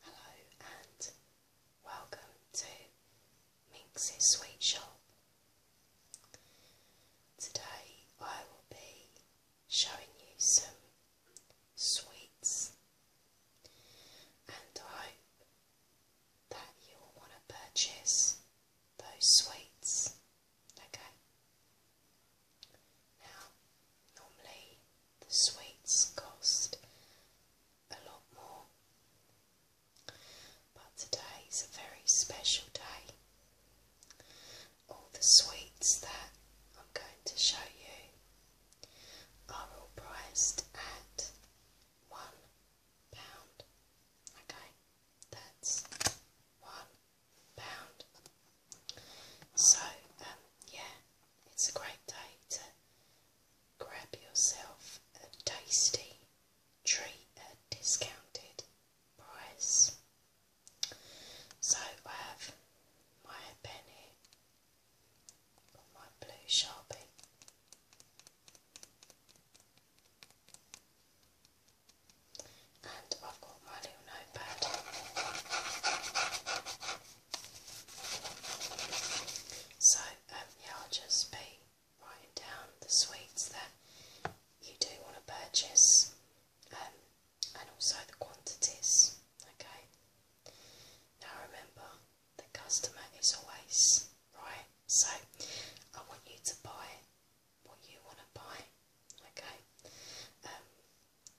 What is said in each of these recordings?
Hello and welcome to Minx's Sweet Shop. Today I will be showing you some sweets and I hope that you'll want to purchase those sweets. Okay. Now, normally the sweets cost a lot more, but today is a very special day. All the sweets that I'm going to show you are all priced at one pound. Okay, that's one so um, yeah, it's a great day to grab yourself a tasty treat at discounted price. So I have my pen my blue sharpie i So, um, yeah, I'll just be writing down the sweets that you do want to purchase um, and also the quantities. Okay? Now remember, the customer is always right. So, I want you to buy what you want to buy. Okay, um,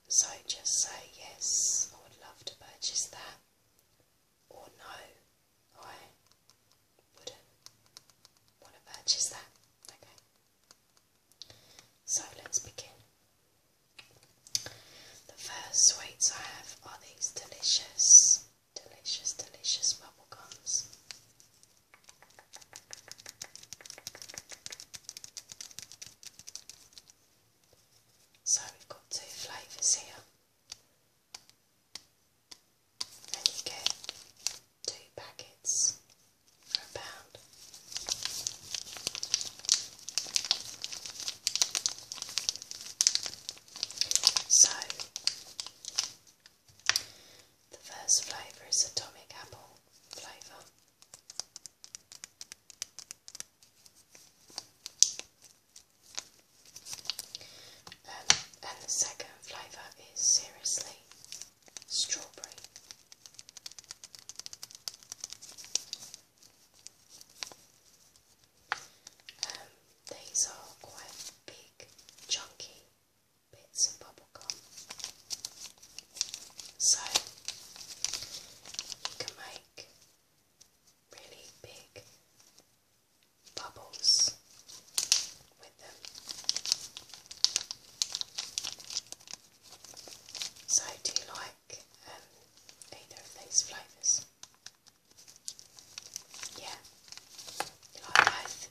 so just say yes, I would love to purchase that, or no, I wouldn't want to purchase that. Okay, so let's begin. The first sweets I have are these delicious, delicious, delicious bubble gums. So we've got two flavours here, and you get two packets for a pound. So the first flavour is atomic apple flavour. Um, and, the second flavour is seriously strawberry. Um, these are quite big, chunky bits of bubblegum. So you can make really big bubbles with them. So do you like um, either of these flavours? Yeah? You like both?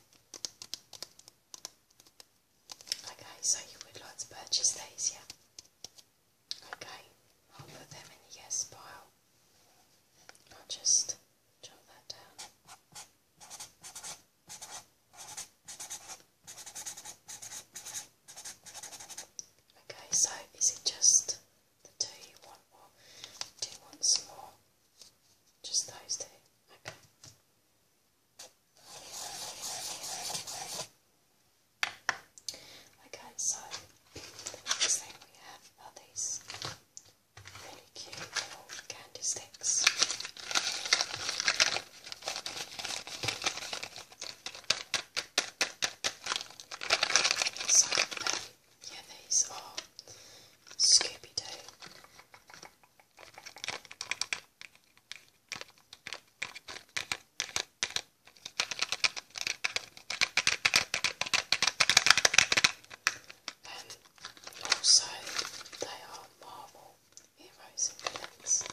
Okay, so you would like to purchase these, yeah? Okay, I'll put them in the yes pile. I'll just jot that down. Okay, so is it just the two you want, or do you want more? Just those two. Okay. Okay, so the next thing we have are these really cute little candy sticks. So, yeah, these are Scooby Doo. And also, they are Marvel heroes and villains.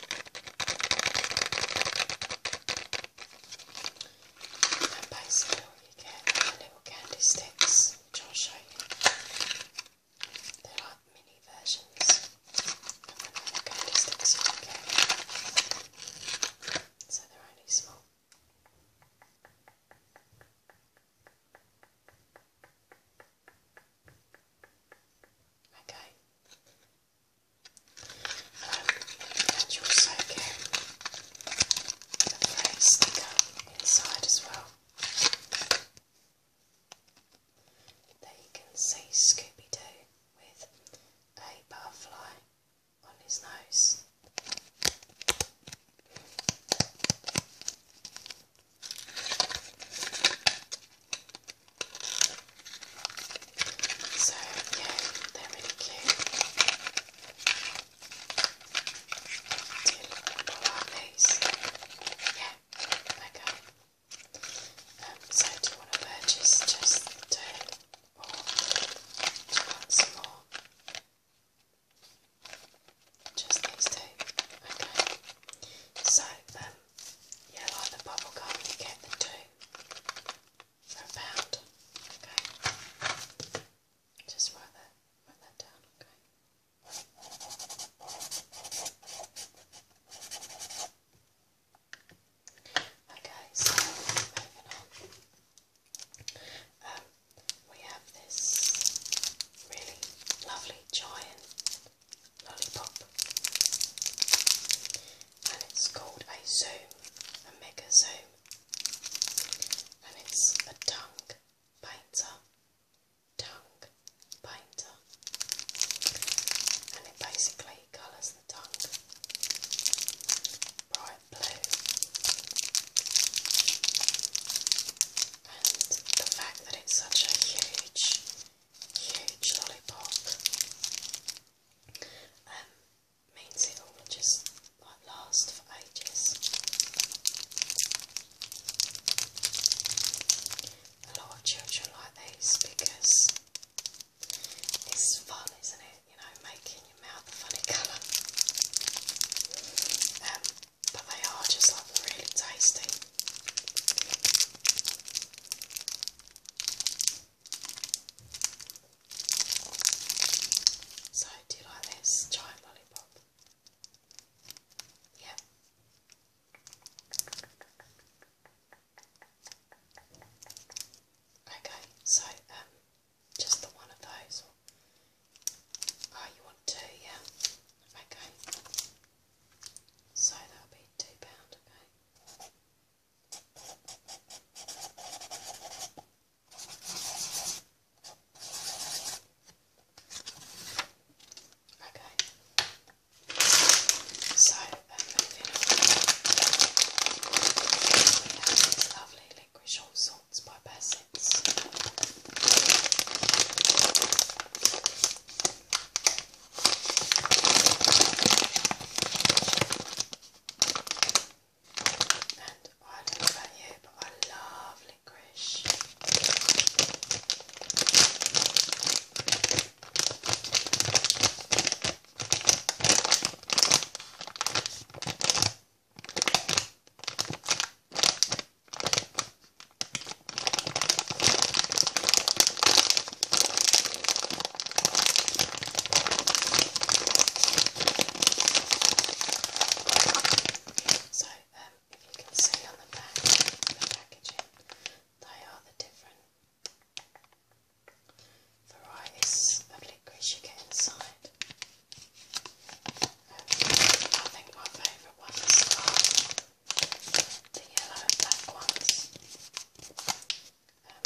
And basically, you get little candy sticks which I'll show you. They're mini versions of the normal candy sticks you can get. So they're only small. Okay. Um, and you inside as well. There you can see Scooby Doo with a butterfly on his nose. So, yeah, they're really cute till so do you want to purchase just the or do more? Just these two. Okay. So, um, yeah, like the bubble gum, you get the two for a pound. Okay. Just write that, write that down, okay? Okay, so moving on. Um, we have this really lovely giant lollipop, and it's called a zoom, a mega zoom and it's a tongue painter, tongue painter, and it basically colours the tongue bright blue. And the fact that it's such a huge, huge lollipop. Um, main single will just last for ages. A lot of children like these because it's fun, isn't it? You know, making your mouth a funny colour. Um, but they are just like really tasty. So, do you like this giant lollipop? Yep. Okay, so um, just the one of those. Oh, you want two, yeah? Okay. So that'll be £2, okay? Okay. So um, moving on. lovely licorice all by Bassett's. And I don't know about you, but I love licorice. So, um, if you can see on the back, the packaging, they are the different varieties of licorice you get inside. Um, I think my favourite ones are the yellow and black ones. Um,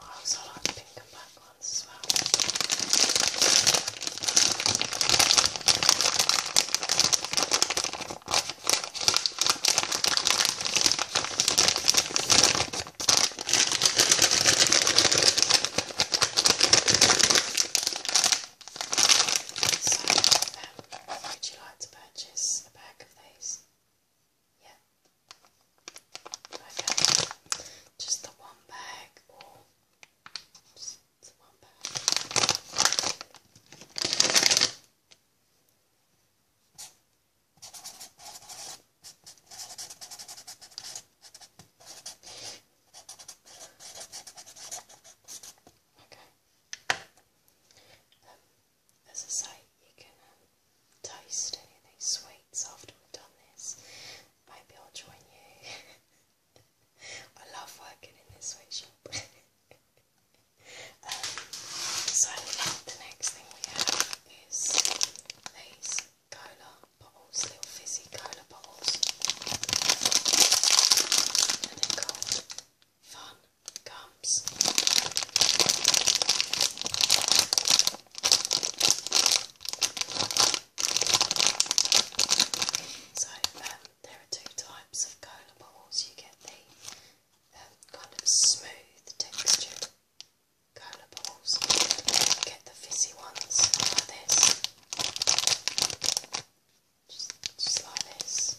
I also like pink and black ones as well. Um, would you like to purchase a bag of these? Yeah. Okay, just the one bag just the one bag. Okay. Um, as I say, you can um, toast anything sweets after we've done this, maybe I'll join you. I love working in this sweet um, so the next thing we have is these cola bottles, little fizzy cola bottles. And they're Fun Gums. So um, there are two types of cola balls. You get the um, kind of smooth texture cola balls. You get the fizzy ones Just, like this.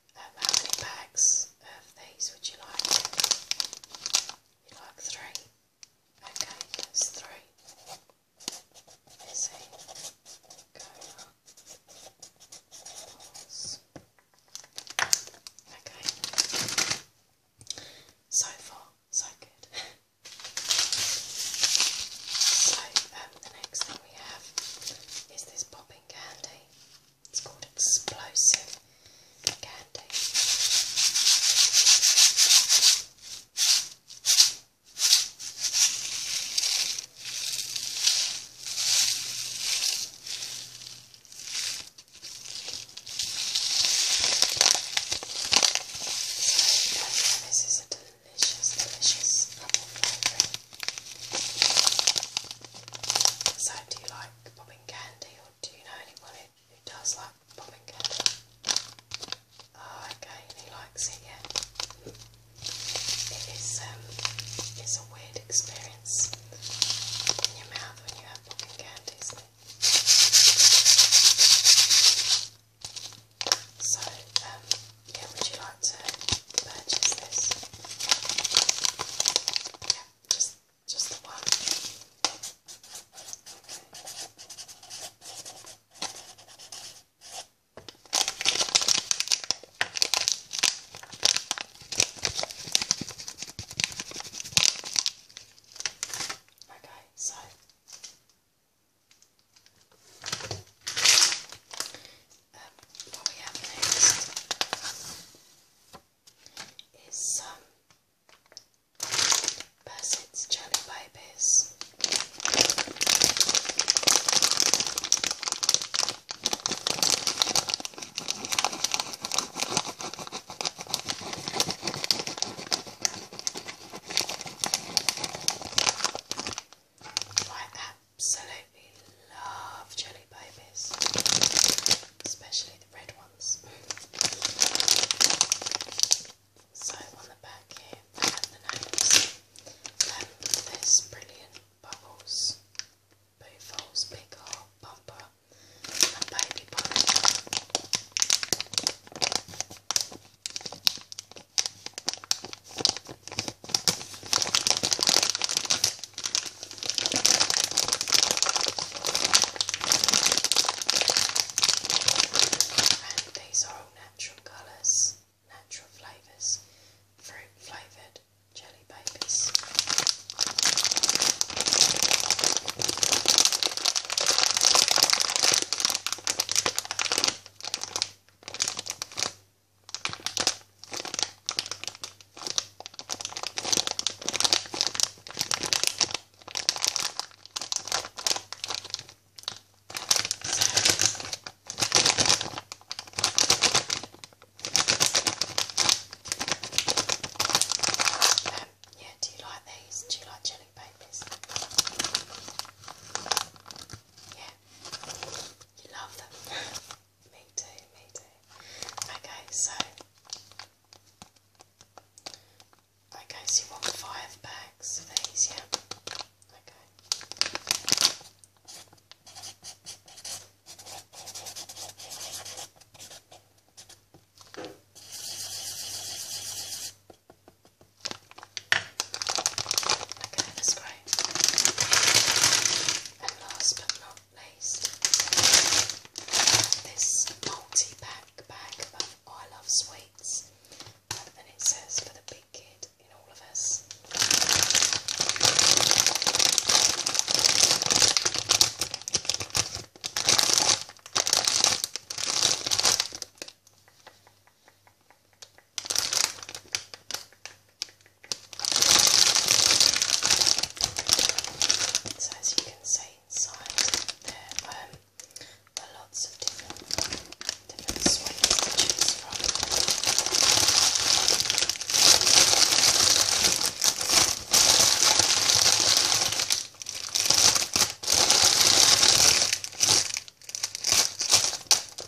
Um, how many bags of these would you like? You like three? Okay, that's three. Busy. Cola. Balls. Okay. So far, so good. so, um, the next thing we have is this popping candy. It's called explosive candy. this is a delicious, delicious apple flavour. So, do you like popping candy, or do you know anyone who, does like popping candy? Oh, okay, he likes it, yeah. It is, um, it's a weird experience in your mouth when you have popping candy, So, um, yeah, would you like to purchase this? Yeah, just just the one. Okay, so um, what we have next is um, some Jelly Babies. I absolutely love jelly babies, especially the red ones. So on the back here, I have the names. Um, there's Brilliant, Bubbles, Boofles, Big Heart, Bumper, and Baby Bunny. And these are all natural colours, natural flavours, fruit flavoured jelly babies. Um, yeah, do you like these? Do you like jelly babies? yeah, you love them. me too, me too. Okay, so okay, so you want five bags of these, yeah? Okay. Okay, that's And last but not least, this multi-pack bag of I Love Sweets. And it says for the big kid in all of us. So as you can see inside there um, are lots of different different swings from.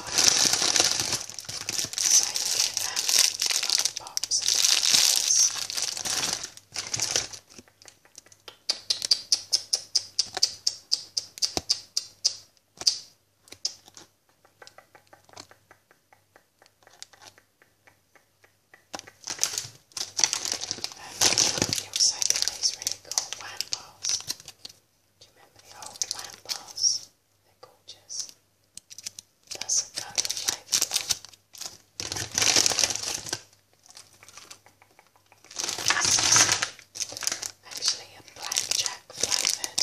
So you get them from pops and pictures. Um, you also get these really cool wine bars. Do you remember the old lamp bars? They're gorgeous. That's a colour favourite Actually, a blackjack flavoured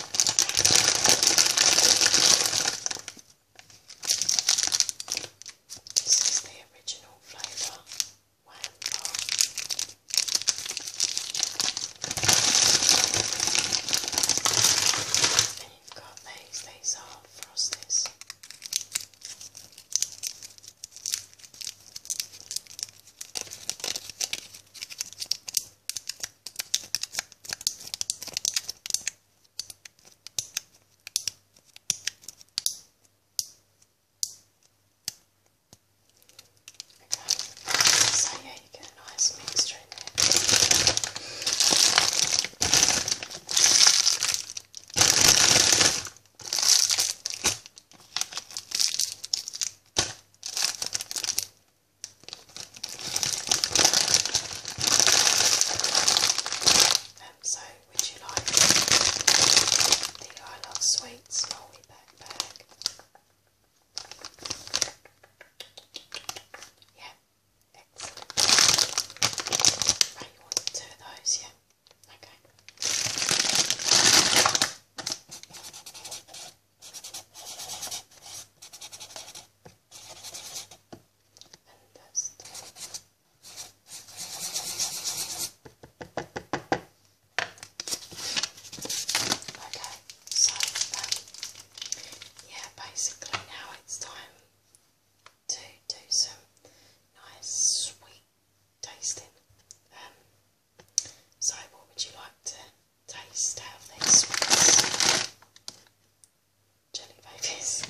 This is the original flavour wham bar. And you've got these, these are frosties. So yeah, you get a nice mixture in there. Okay, um, so, would you like the I Love Sweets Yeah, excellent. you want two of those, yeah? Okay and dust. Okay, so um, yeah, basically now it's time to do some nice sweet tasting. Um, so, what would you like to taste out of these ones? Jelly babies.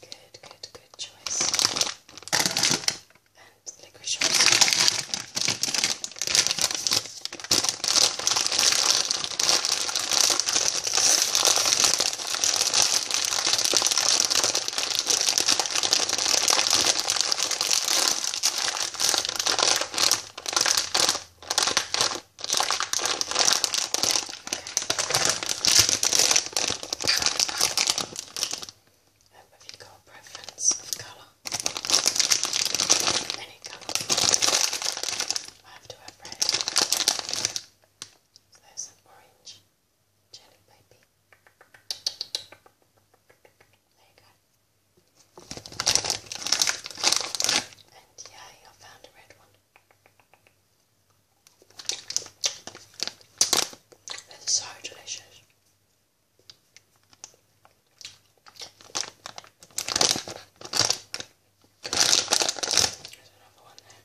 Good, good, good choice. And licorice um, have you got a preference of colour? Any colour? I have to have red. So there's an orange jelly baby. There you go. And yeah, I found a red one. It's so delicious. There's another one there.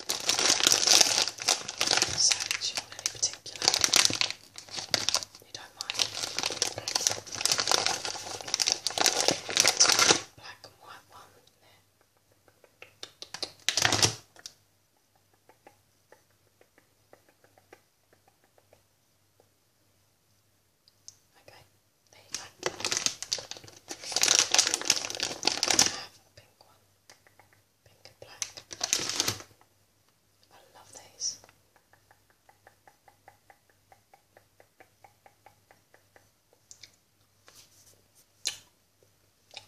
So, do you want any particular? You don't mind? Black and white one Okay, there you go. I have a pink one pink and black. I love these.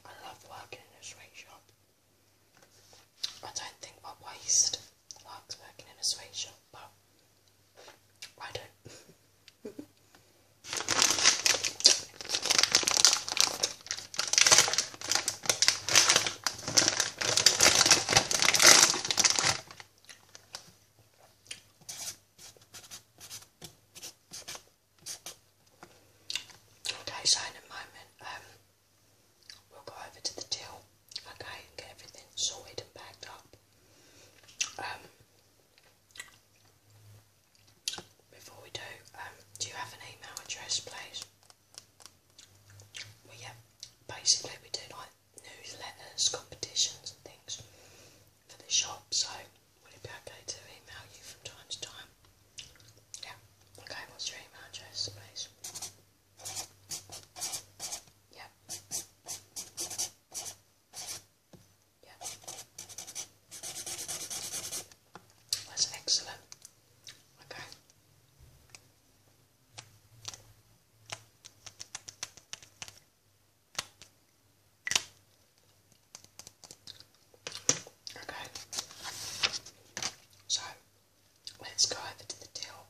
I love working in a sweet shop. I don't think my waist likes working in a sweet shop, but I don't. Okay, so in a moment, um, we'll go over to the till, okay, get everything sorted and bagged up. Um, before we do, um, do you have an email address, please? yeah, basically we do like newsletters, competitions, and things for the shop. So, would it be okay to email you from time to time? Yeah. Okay. What's your email address, please? Yeah. That's excellent. Okay. Okay. So let's go over to the till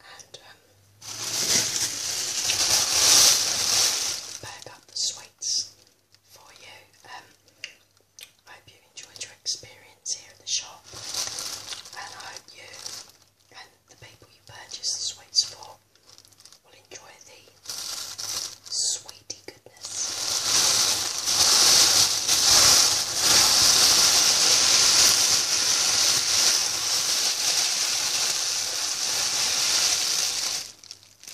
and bag um, up the sweets for you. Um, I hope you enjoyed your experience here at the shop, and I hope you and the people you purchase the sweets for will enjoy the sweetie goodness.